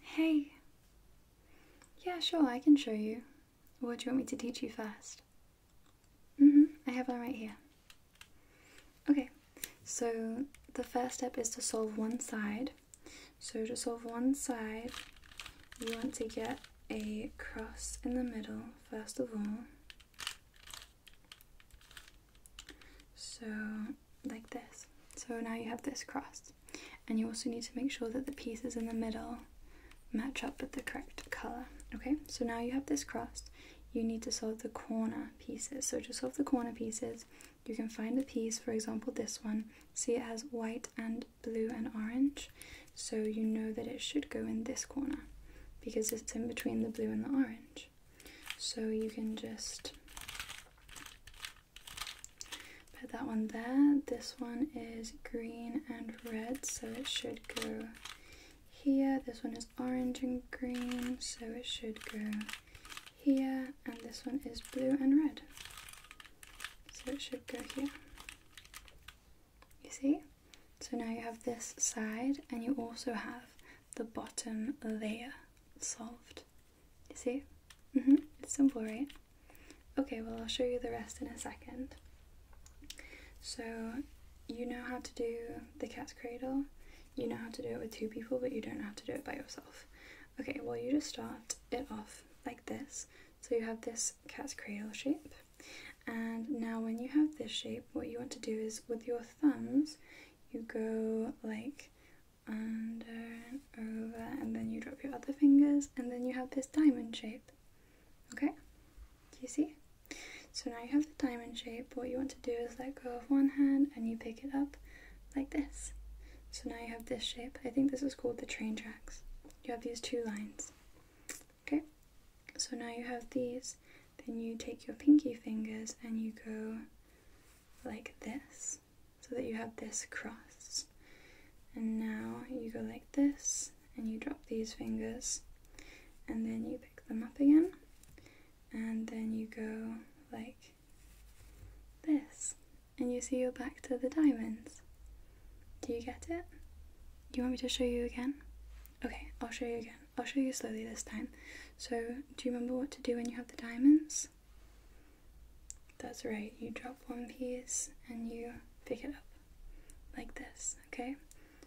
Hey. Yeah, sure, I can show you. What do you want me to teach you 1st Mm-hmm, I have one right here. Okay, so the first step is to solve one side. So to solve one side, you want to get a cross in the middle, first of all. So like this. So now you have this crossed. And you also need to make sure that the pieces in the middle match up with the correct color. Okay, so now you have this crossed. You need to solve the corner pieces. So to solve the corner pieces, you can find a piece, for example this one. See it has white and blue and orange. So you know that it should go in this corner because it's in between the blue and the orange. So you can just Put that one there. This one is green and red, so it should go here. This one is orange and green, so it should go here. And this one is blue and red, so it should go here. You see? So now you have this side, and you also have the bottom layer solved. You See? Mm-hmm. It's simple, right? Okay, well, I'll show you the rest in a second. So, you know how to do the cat's cradle. You know how to do it with two people, but you don't know how to do it by yourself. Okay, well, you just start it off like this. So you have this cat's cradle shape. And now when you have this shape, what you want to do is with your thumbs, you go like like under and over, and then you drop your other fingers, and then you have this diamond shape. Okay, do you see? So now you have the diamond shape. What you want to do is let go of one hand and you pick it up like this. So now you have this shape. I think this is called the train tracks. You have these two lines. Okay, so now you have these. Then you take your pinky fingers and you go like this so that you have this cross. And now you go like this and you drop these fingers and then you pick them up again and then you go like this and you see you're back to the diamonds. Do you get it? Do you want me to show you again? Okay, I'll show you again. I'll show you slowly this time. So, do you remember what to do when you have the diamonds? That's right, you drop one piece and you pick it up like this, okay?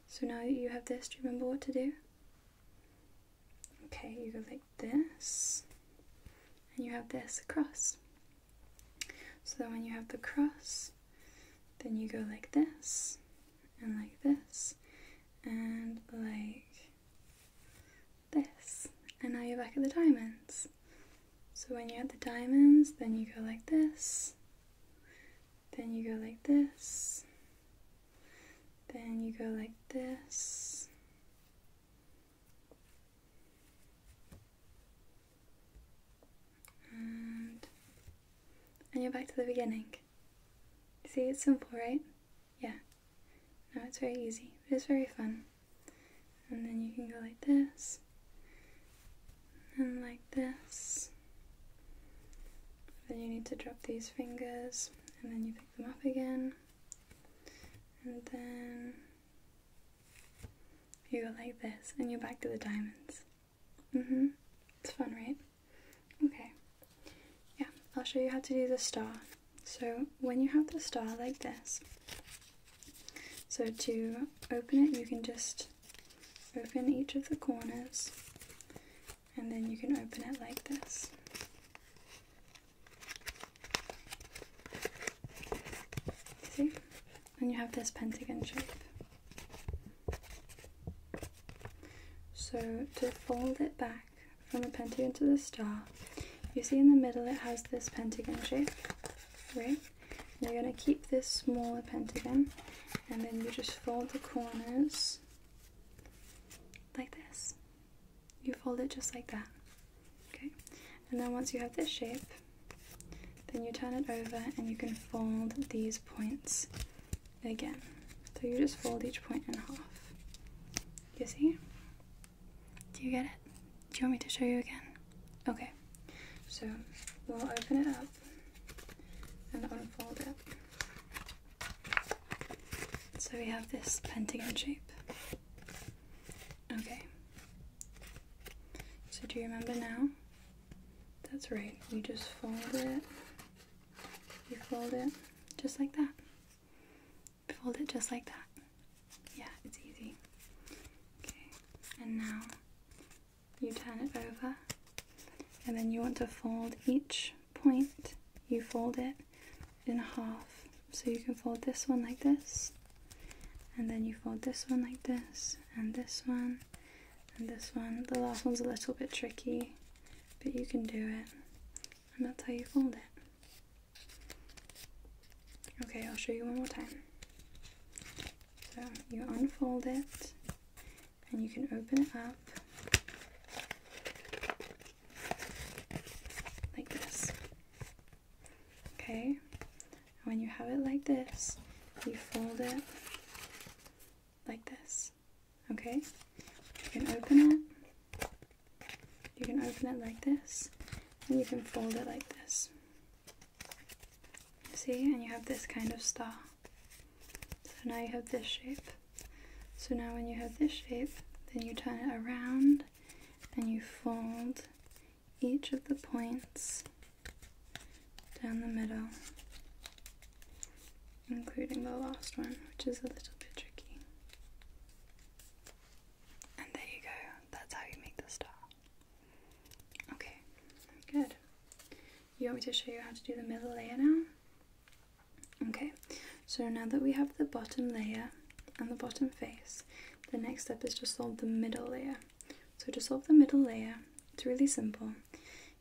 So now you have this, do you remember what to do? Okay, you go like this, and you have this cross. So when you have the cross, then you go like this, and like this and like this and now you're back at the diamonds so when you're at the diamonds then you go like this then you go like this then you go like this and you're back to the beginning See, it's simple, right? Yeah. Now it's very easy, it's very fun. And then you can go like this, and like this. Then you need to drop these fingers, and then you pick them up again. And then you go like this, and you're back to the diamonds. Mm-hmm. It's fun, right? Okay. Yeah, I'll show you how to do the star. So when you have the star like this, so to open it you can just open each of the corners and then you can open it like this. See? and you have this pentagon shape. So to fold it back from the pentagon to the star, you see in the middle it has this pentagon shape, right? you're going to keep this smaller pentagon and then you just fold the corners like this. You fold it just like that. Okay? And then once you have this shape, then you turn it over and you can fold these points again. So you just fold each point in half. You see? Do you get it? Do you want me to show you again? Okay. So we'll open it up and unfold it. So we have this pentagon shape. Okay. So do you remember now? That's right. You just fold it. You fold it just like that. Fold it just like that. Yeah, it's easy. Okay. And now you turn it over. And then you want to fold each point. You fold it in half. So you can fold this one like this. And then you fold this one like this and this one and this one. The last one's a little bit tricky, but you can do it. And that's how you fold it. Okay, I'll show you one more time. So you unfold it and you can open it up like this. Okay, when you have it like this, you fold it like this. Okay, you can open it. You can open it like this, and you can fold it like this. See, and you have this kind of star. So now you have this shape. So now when you have this shape, then you turn it around and you fold each of the points down the middle, including the last one, which is a little bit tricky. And there you go, that's how you make the star. Okay, good. You want me to show you how to do the middle layer now? Okay, so now that we have the bottom layer and the bottom face, the next step is to solve the middle layer. So to solve the middle layer, it's really simple.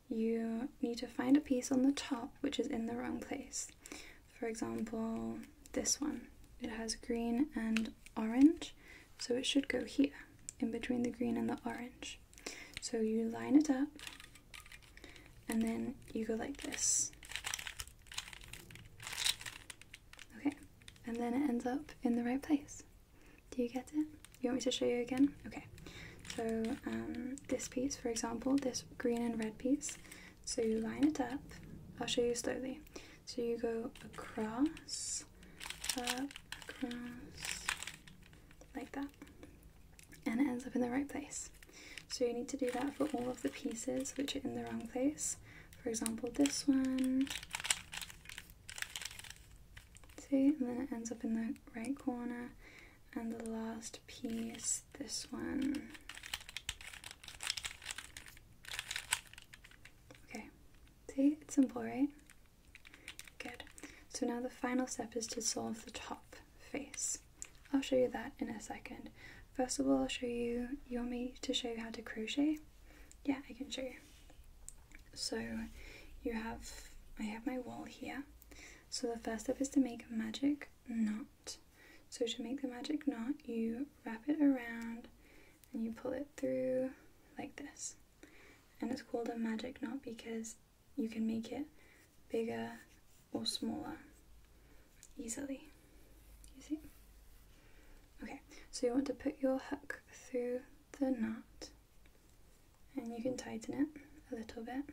You need to find a piece on the top which is in the wrong place. For example, this one. It has green and orange, so it should go here, in between the green and the orange. So you line it up, and then you go like this. Okay, and then it ends up in the right place. Do you get it? You want me to show you again? Okay, so um, this piece, for example, this green and red piece, so you line it up, I'll show you slowly. So you go across, across, like that, and it ends up in the right place. So you need to do that for all of the pieces which are in the wrong place for example, this one. See, and then it ends up in the right corner. And the last piece, this one. Okay, see, it's simple, right? Good. So now the final step is to solve the top face. I'll show you that in a second. First of all, I'll show you, you want me to show you how to crochet? Yeah, I can show you. So you have, I have my wall here. So the first step is to make a magic knot. So to make the magic knot, you wrap it around and you pull it through like this. And it's called a magic knot because you can make it bigger or smaller easily. Okay, so you want to put your hook through the knot and you can tighten it a little bit.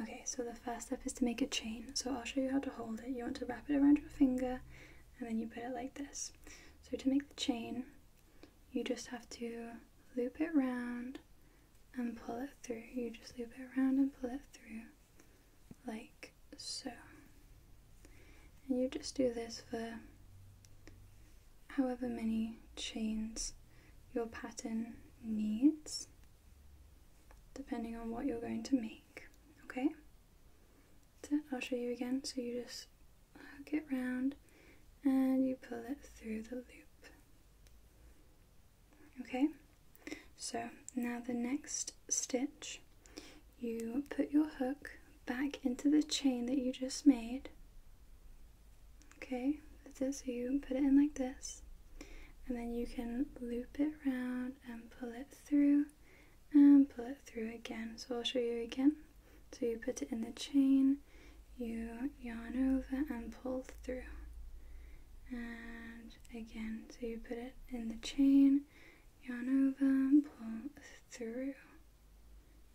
Okay, so the first step is to make a chain. So I'll show you how to hold it. You want to wrap it around your finger and then you put it like this. So to make the chain, you just have to loop it round and pull it through. You just loop it around and pull it through like so. And you just do this for however many chains your pattern needs, depending on what you're going to make, okay? So I'll show you again. So you just hook it round and you pull it through the loop. Okay, so now the next stitch, you put your hook back into the chain that you just made. Okay, that's it. So you put it in like this, and then you can loop it around and pull it through and pull it through again. So I'll show you again. So you put it in the chain, you yarn over and pull through and again so you put it in the chain yarn over and pull through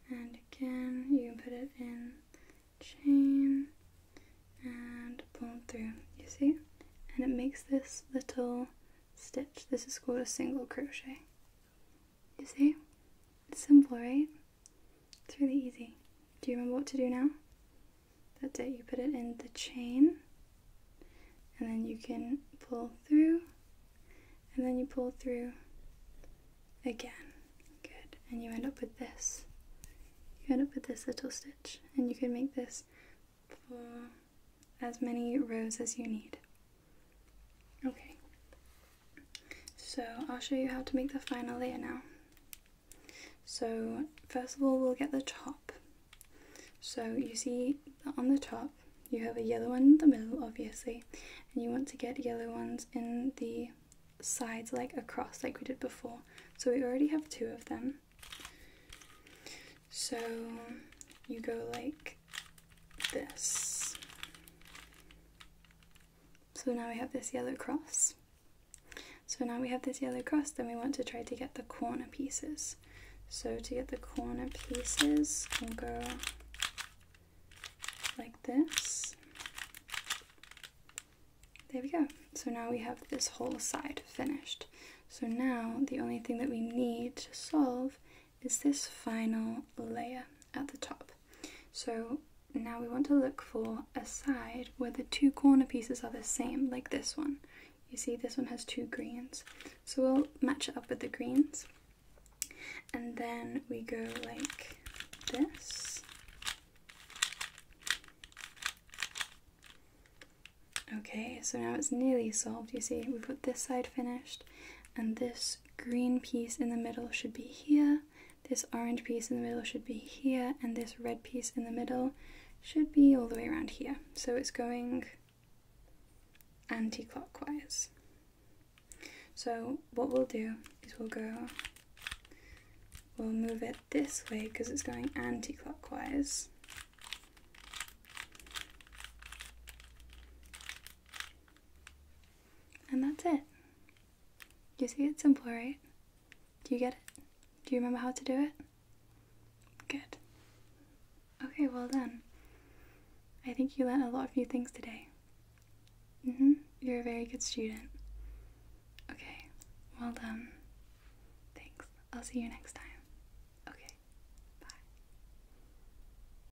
and again you put it in chain and pull through you see and it makes this little stitch this is called a single crochet you see simple right it's really easy. Do you remember what to do now? That's it. You put it in the chain, and then you can pull through, and then you pull through again. Good. And you end up with this. You end up with this little stitch, and you can make this for as many rows as you need. Okay. So I'll show you how to make the final layer now. So first of all we'll get the top. So you see that on the top you have a yellow one in the middle obviously and you want to get yellow ones in the sides like across like we did before. So we already have two of them. So you go like this so now we have this yellow cross. So now we have this yellow cross, then we want to try to get the corner pieces. So to get the corner pieces, we'll go like this. There we go. So now we have this whole side finished. So now the only thing that we need to solve is this final layer at the top. So now we want to look for a side where the two corner pieces are the same, like this one. You see this one has two greens. So we'll match it up with the greens. And then we go like this. Okay, so now it's nearly solved. You see, we've got this side finished and this green piece in the middle should be here, this orange piece in the middle should be here, and this red piece in the middle should be all the way around here. So it's going anti-clockwise. So what we'll do is we'll go, we'll move it this way because it's going anti-clockwise. And that's it. You see, it's simple, right? Do you get it? Do you remember how to do it? Good. Okay, well done. I think you learned a lot of new things today. Mm-hmm. You're a very good student. Okay, well done. Thanks. I'll see you next time.